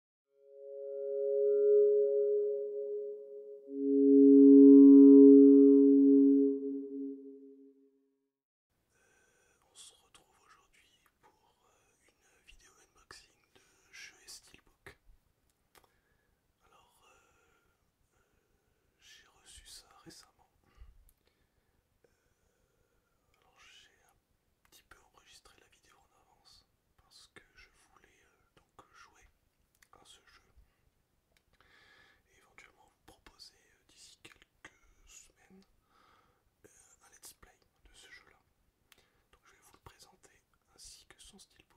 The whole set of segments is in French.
On se retrouve aujourd'hui pour euh, une vidéo unboxing de jeux Steelbook. Alors, euh, euh, j'ai reçu ça récemment. j'ai un petit peu enregistrer la vidéo en avance parce que je voulais euh, donc jouer à ce jeu et éventuellement vous proposer euh, d'ici quelques semaines euh, un let's play de ce jeu là. Donc je vais vous le présenter ainsi que son steelbook.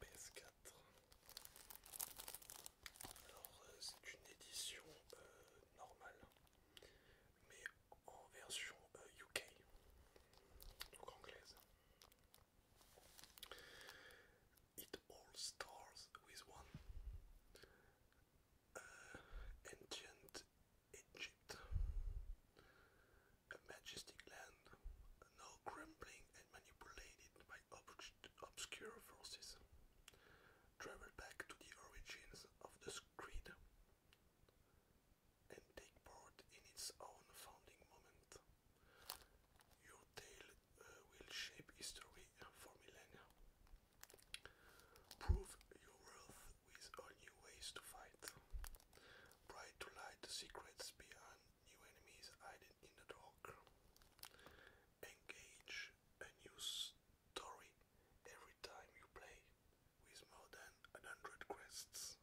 PS4. Alors euh, c'est édition euh, normale, version UK, euh, donc anglaise. It all starts with one. Uh, ancient Egypt, a majestic land, now crumbling and manipulated obscure forces, travel back to the origins of the creed, and take part in its own founding moment. Your tale uh, will shape history for millennia. Prove your worth with all new ways to fight. Try to light the secrets behind New enemies hidden in the dark. Engage a new story every time you play with more than 100 quests.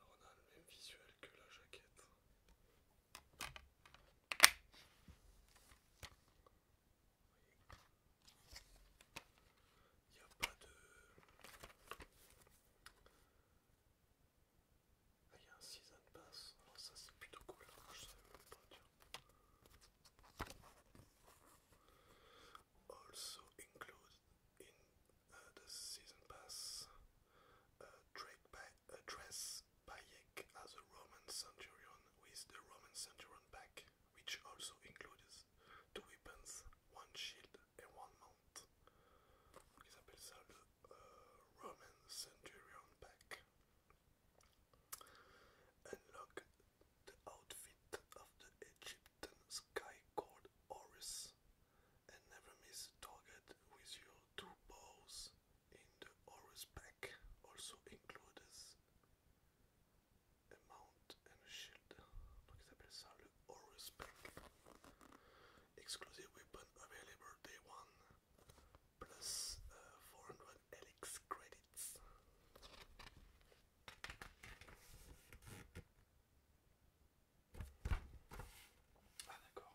Alors on a le même visuel que la jaquette. Il n'y a pas de... Ah, il y a un season pass, alors oh, ça c'est plutôt cool, ah, je pas Also included in the season pass uh, uh, dress as a Roman centurion with the Roman centurion pack, which also includes two weapons, one shield and one mount. Donc il s'appelle Roman centurion pack. Unlock the outfit of the Egyptian the sky and never miss target with your two bows in the Horus pack, also included a mount and a shield. Donc il s'appelle ça le pack. Exclusive weapon available day one, uh, 400 Elix credits. Ah d'accord.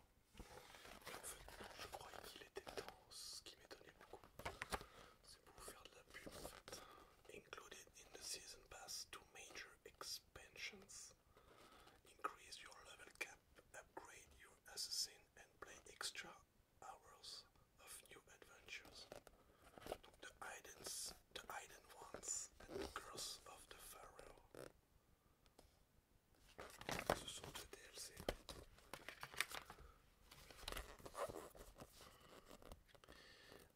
Included in the season pass, two major expansions. Increase your level cap, upgrade your assassin and play extra hours of new adventures. Donc de the Aiden ones and the Girls of the Pharaoh.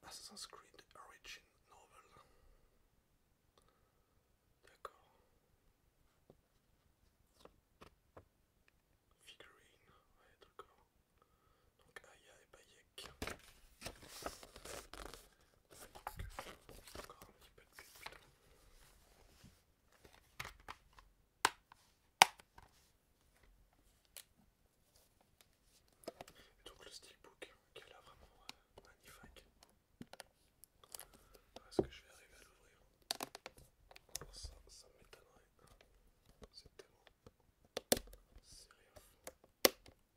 Assassin's Creed Origin Novel. D'accord. Figurine, d'accord. Donc Aya et Baye Donc, donc le steelbook qui est là vraiment euh, magnifique. Est-ce que je vais arriver à l'ouvrir Ça, ça m'étonnerait. C'est tellement serré à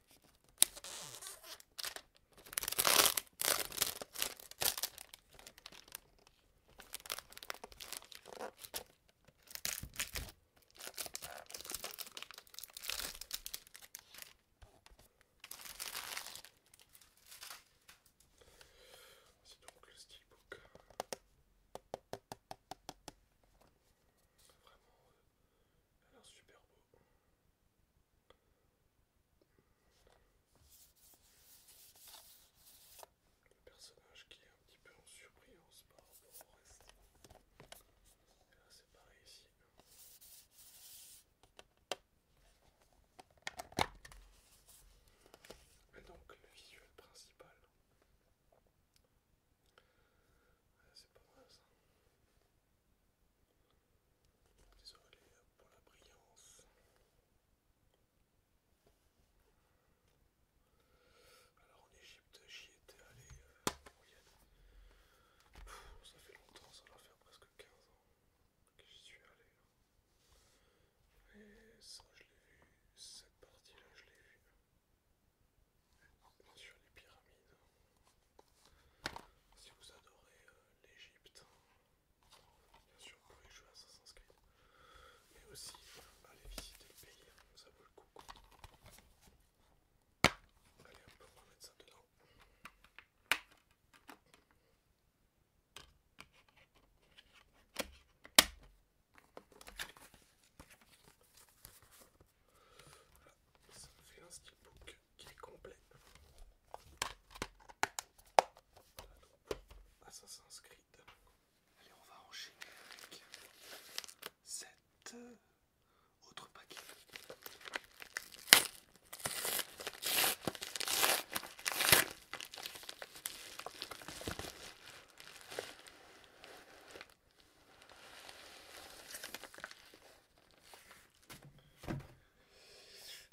C'est donc le steelbook. Vraiment euh, alors super beau. Le personnage qui est un petit peu en surprise par rapport au reste. Et là c'est pareil ici. Et donc le visuel principal ah, c'est pas mal ça. Désolé pour la brillance. Alors en Égypte, j'y étais allé euh, ça fait longtemps, ça doit faire presque 15 ans que j'y suis allé. Et ça, je l'ai vu, cette partie-là, je l'ai vu bien sûr les pyramides. Si vous adorez euh, l'Egypte, bien sûr vous pouvez jouer à Assassin's Creed, mais aussi euh, aller visiter le pays, hein, ça vaut le coup. un Allez, on peut remettre ça dedans ça me fait un steelbook qui est complet. Ah, ça s'inscrit Allez, on va enchaîner avec cet euh, autre paquet.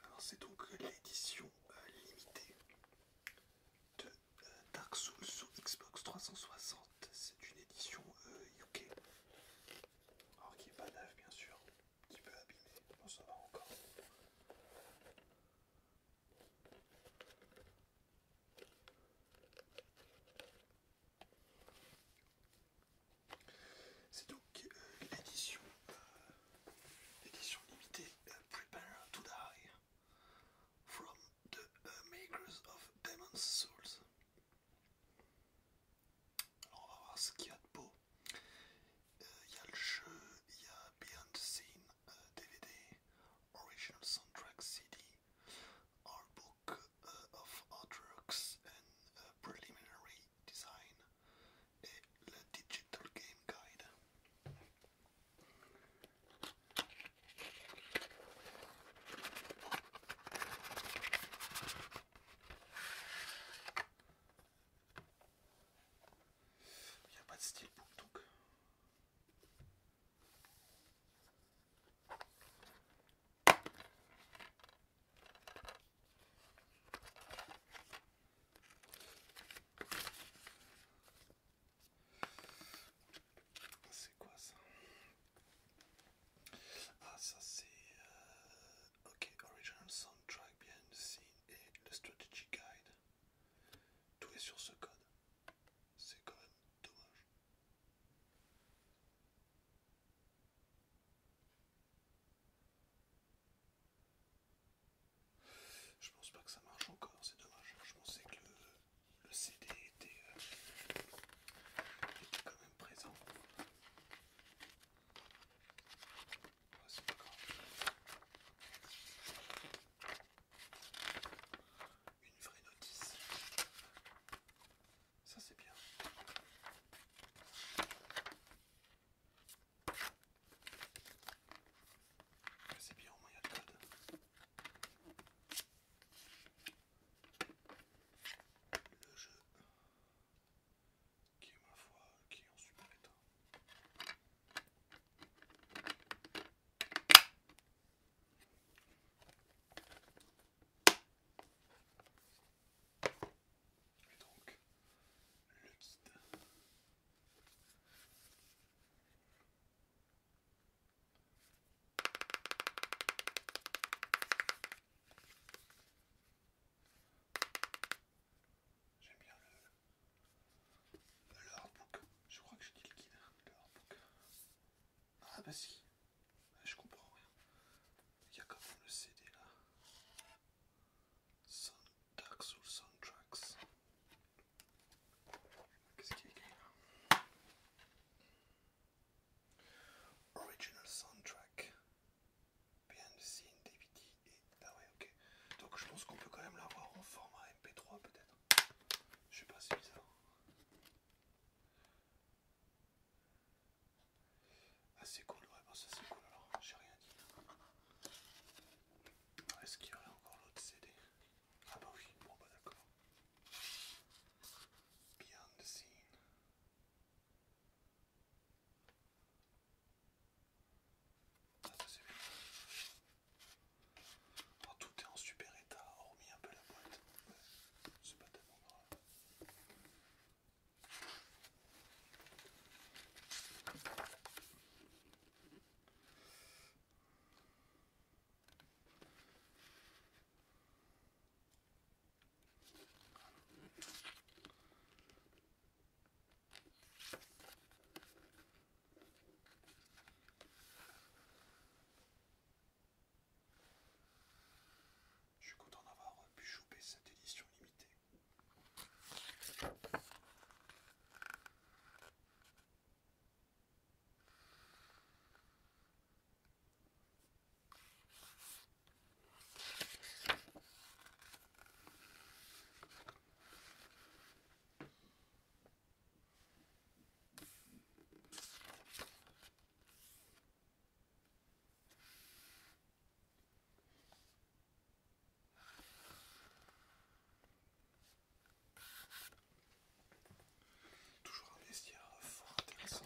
Alors c'est donc euh, l'édition euh, limitée de euh, Dark Souls sur Xbox 360. C'est une édition UK. Alors qui n'est pas neuf bien sûr, un petit peu abîmé, on ça va encore. C'est donc euh, euh, l'édition limitée euh, Prepare to Die from the Makers of Demon's Souls. Alors on va voir ce qu'il y a de beau. Il y a le jeu, il y a Beyond the Scene, DVD, original soundtrack CD, art book uh, of artworks and uh, preliminary design, et digital game guide. Il n'y a steelbook donc C'est quoi ça Ah ça c'est... Euh, ok, Original Soundtrack Behind the scenes et le Strategy Guide. Tout est sur ce code. C'est quand même dommage. Je pense pas que ça marche encore, c'est dommage. Je pensais que le, CD euh, était, quand même présent. pas une vraie notice. Ça c'est bien. C'est bien au moins il y a le jeu qui est ma foi qui est en super état. Et donc, le guide. J'aime bien le, le hardbook, je crois que j'ai dit le guide, le Ah bah si, bah, je comprends rien. Il y a quand même le CD là. Soundtracks ou Soundtracks. Qu'est-ce qu'il y a là Original Soundtrack. Behind the scene, DVD et... Ah ouais, ok. Donc je pense qu'on peut quand même l'avoir en format MP3 peut-être. Je sais pas, si bizarre. Ah, c'est cool, ouais, bah ça c'est cool alors, j'ai rien dit. Est-ce qu'il y aurait encore l'autre CD Ah, bah oui, bon, bah d'accord. Beyond the scene. Ah, ça c'est bien. Oh, tout est en super état, hormis un peu la boîte. Ouais, c'est pas tellement grave. Je suis content d'avoir pu choper cette édition limitée. Toujours un bestiaire fort intéressant.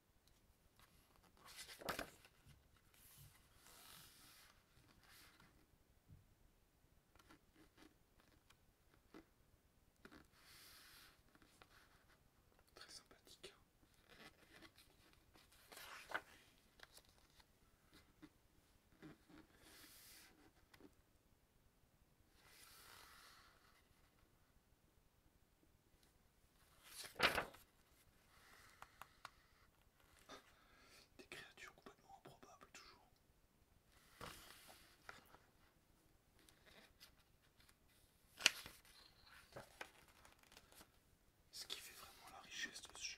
Très sympathique. Des créatures complètement improbables toujours. Ce qui fait vraiment la richesse de ce jeu.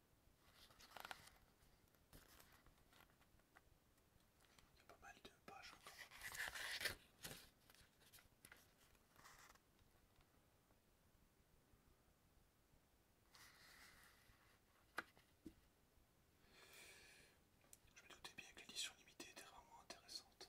pas mal de pages Je me doutais bien que l'édition limitée était vraiment intéressante.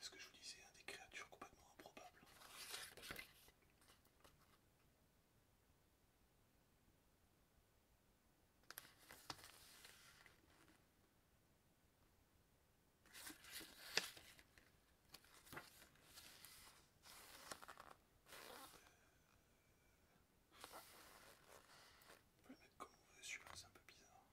Ce que je vous disais, des créatures complètement improbables. On comme on veut c'est un peu bizarre.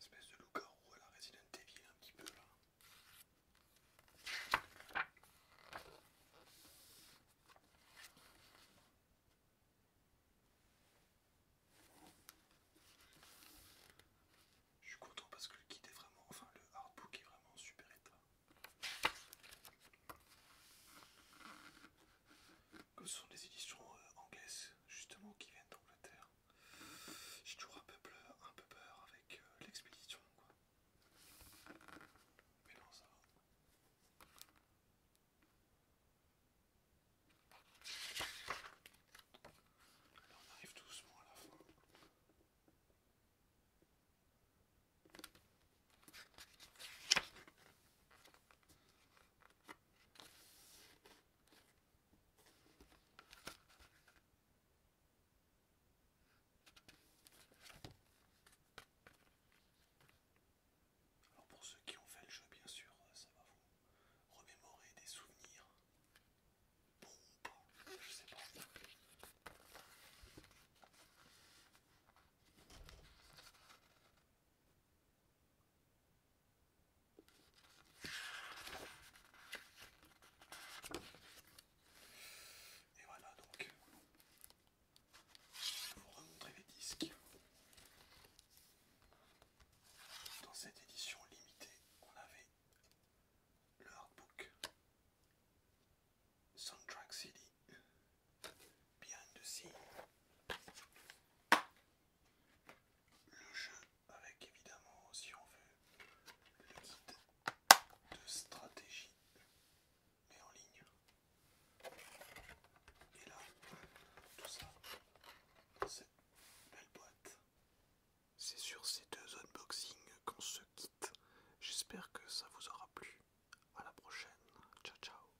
Espèce de loup-garou à la Resident Evil un petit peu là. Je suis content parce que le kit est vraiment, enfin le hardbook est vraiment en super état que ce sont des éditions euh, anglaises justement qui viennent d'Angleterre, j'ai toujours un peu, peur, un peu peur avec euh, l'expédition quoi. Mais non ça va. on arrive doucement à la fin. Alors pour ceux qui ont fait le jeu bien sûr ça va vous remémorer des souvenirs. pas. Et voilà donc pour remontrer les disques. Dans cette édition limitée, on avait le hardbook Soundtrack City Bien de Le jeu avec évidemment, si on veut, le guide de stratégie, mais en ligne. Et là, tout ça dans cette belle boîte. C'est sur ces deux unboxings qu'on se quitte. J'espère que ça vous aura plu. À la prochaine. Ciao ciao.